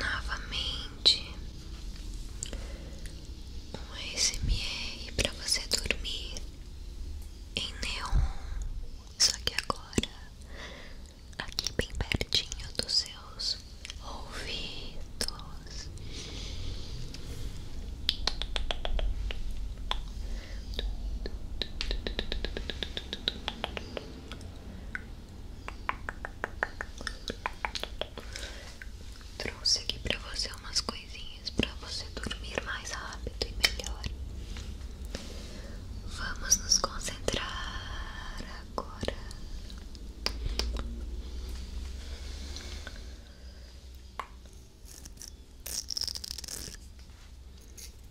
Novamente, um ASMR para você dormir em neon, só que agora aqui bem pertinho dos seus ouvidos. Trouxe aqui pra você umas coisinhas pra você dormir mais rápido e melhor. Vamos nos concentrar agora.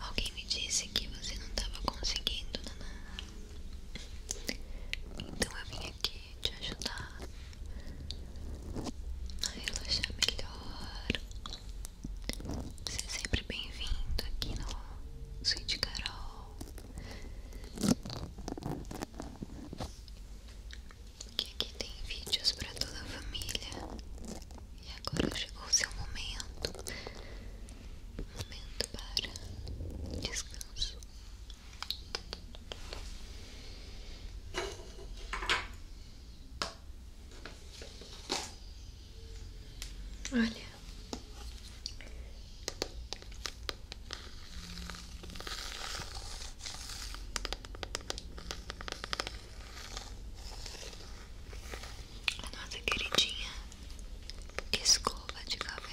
Alguém me disse que você não estava conseguindo, Naná. Né? Então eu vim aqui vai te ajudar a relaxar melhor. Seja sempre bem-vindo aqui no Sweet Carol. aqui tem vídeos para toda a família. E agora chegou o seu momento. Momento para descanso. Olha. A nossa queridinha escova de cabelo.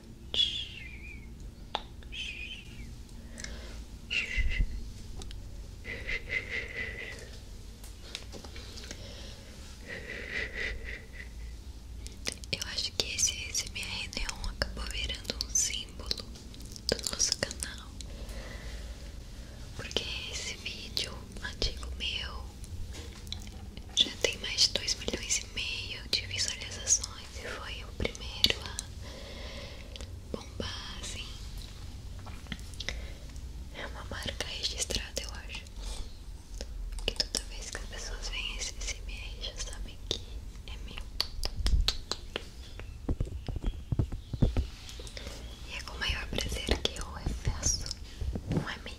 Eu acho que esse SMR Neon acabou virando um símbolo do nosso canal. Porque esse vídeo antigo meu já tem mais de 2 milhões meio de visualizações e foi o primeiro a bombar assim. É uma marca registrada, eu acho. Que toda vez que as pessoas veem esse SMR já sabem que é meu. E é com o maior prazer que eu faço um é make.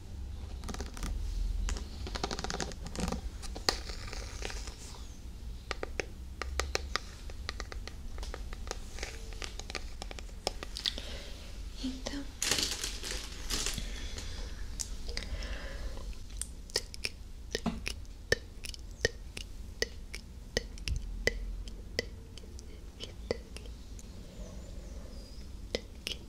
Então,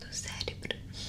do cérebro.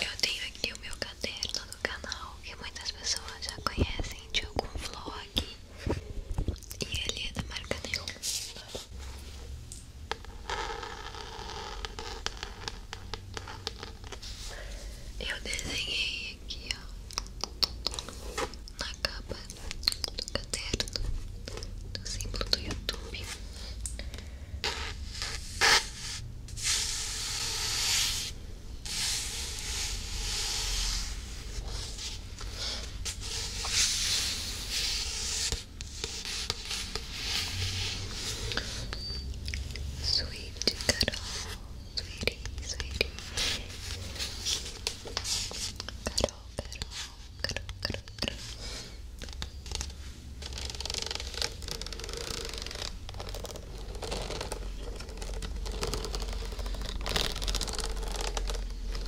Eu tenho aqui o meu caderno do canal que muitas pessoas já conhecem de algum vlog e ele é da marca Neon. Eu desenhei aqui, ó, na capa do caderno do símbolo do YouTube. Sweet cuddle, sweetie, sweetie. Cuddle, cuddle, cuddle, cuddle, cuddle. Cuddle,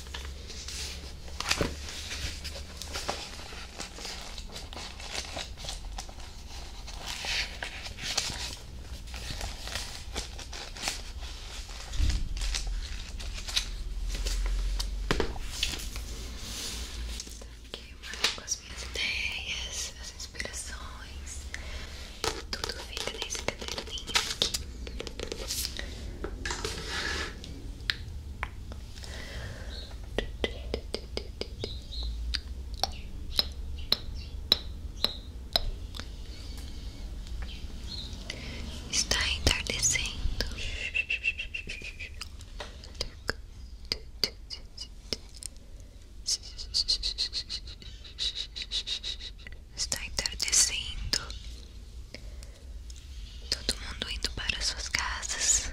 Tá Aqui eu marco as minhas ideias, as inspirações, tudo fica nesse caderninho aqui. Está entardecendo. Está entardecendo. Todo mundo indo para suas casas.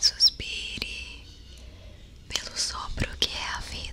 Suspire pelo sopro que é a vida.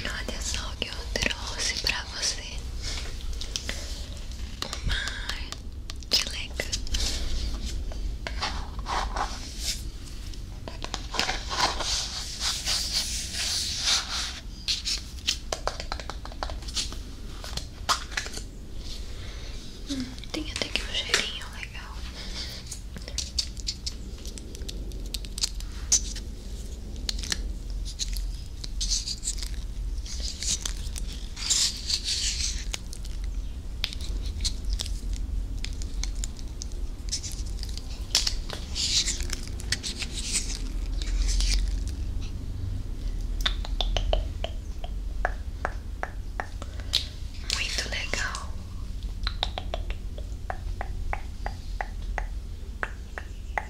Olha só o que eu trouxe pra você uma dileca. Hum, tem até que um cheirinho legal. Muito legal.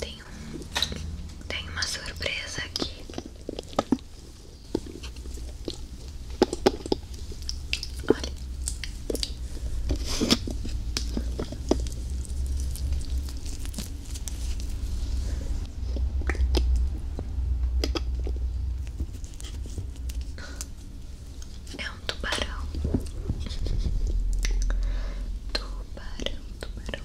Tem, tem uma surpresa aqui. Olha. É um tubarão. Tubarão, tubarão.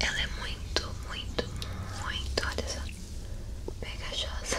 Ela é muito, muito, muito, olha só, pegajosa.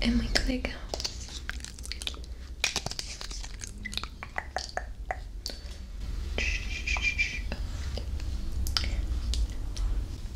É muito legal.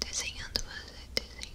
Desenhando você, desenhando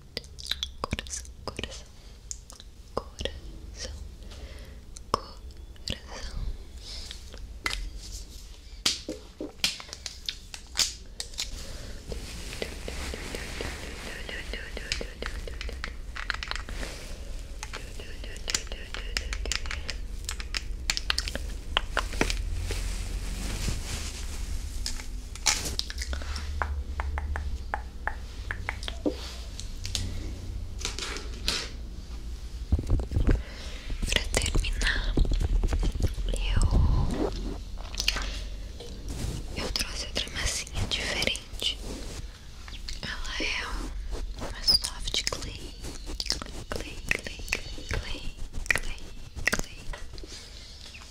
coração, coração, coração, coração. Pra terminar, eu eu trouxe outra massinha diferente. Ela é uma soft clay, clay, clay, clay, clay, clay.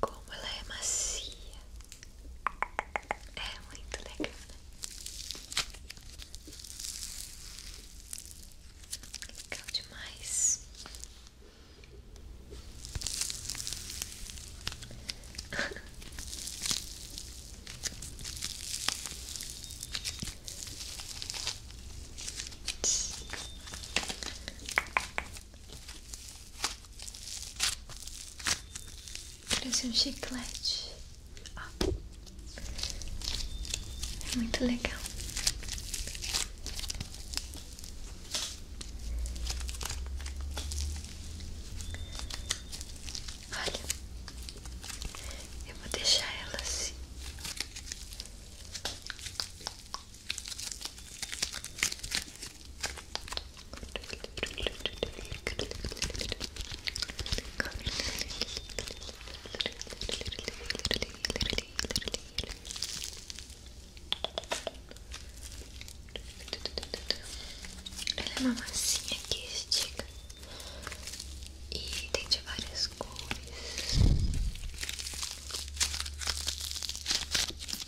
Como ela é macia. É muito legal, né? Legal demais. Parece um chiclete. Ah. É muito legal. Olha, eu vou deixar ela assim. Ela é uma massinha que estica e tem de várias coisas.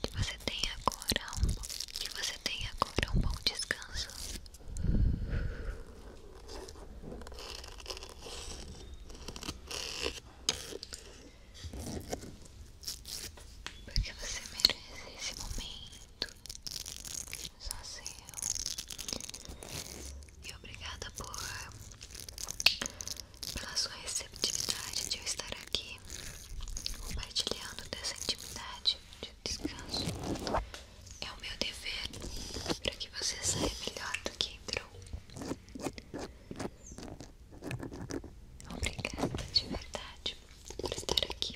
Que você tenha agora um que você tenha agora um bom descanso. Porque você merece esse momento só E obrigada por pela sua receptividade de eu estar aqui compartilhando dessa intimidade de descanso. É o meu dever para que você saia melhor do que entrou. Obrigada de verdade por estar aqui.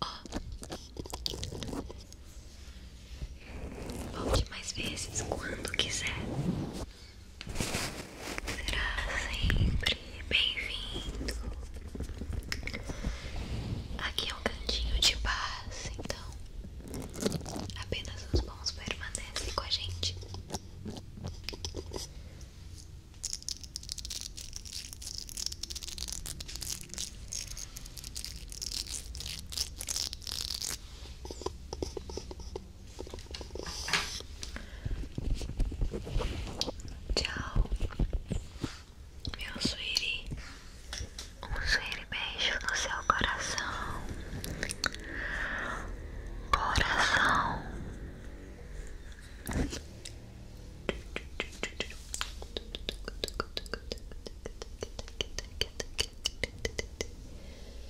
Ó, volte mais vezes quando quiser. Será sempre bem-vindo. Aqui é um cantinho de paz, então apenas os bons permanecem com a gente. Tchau, meu suíri. Um suíri beijo no seu coração. Coração.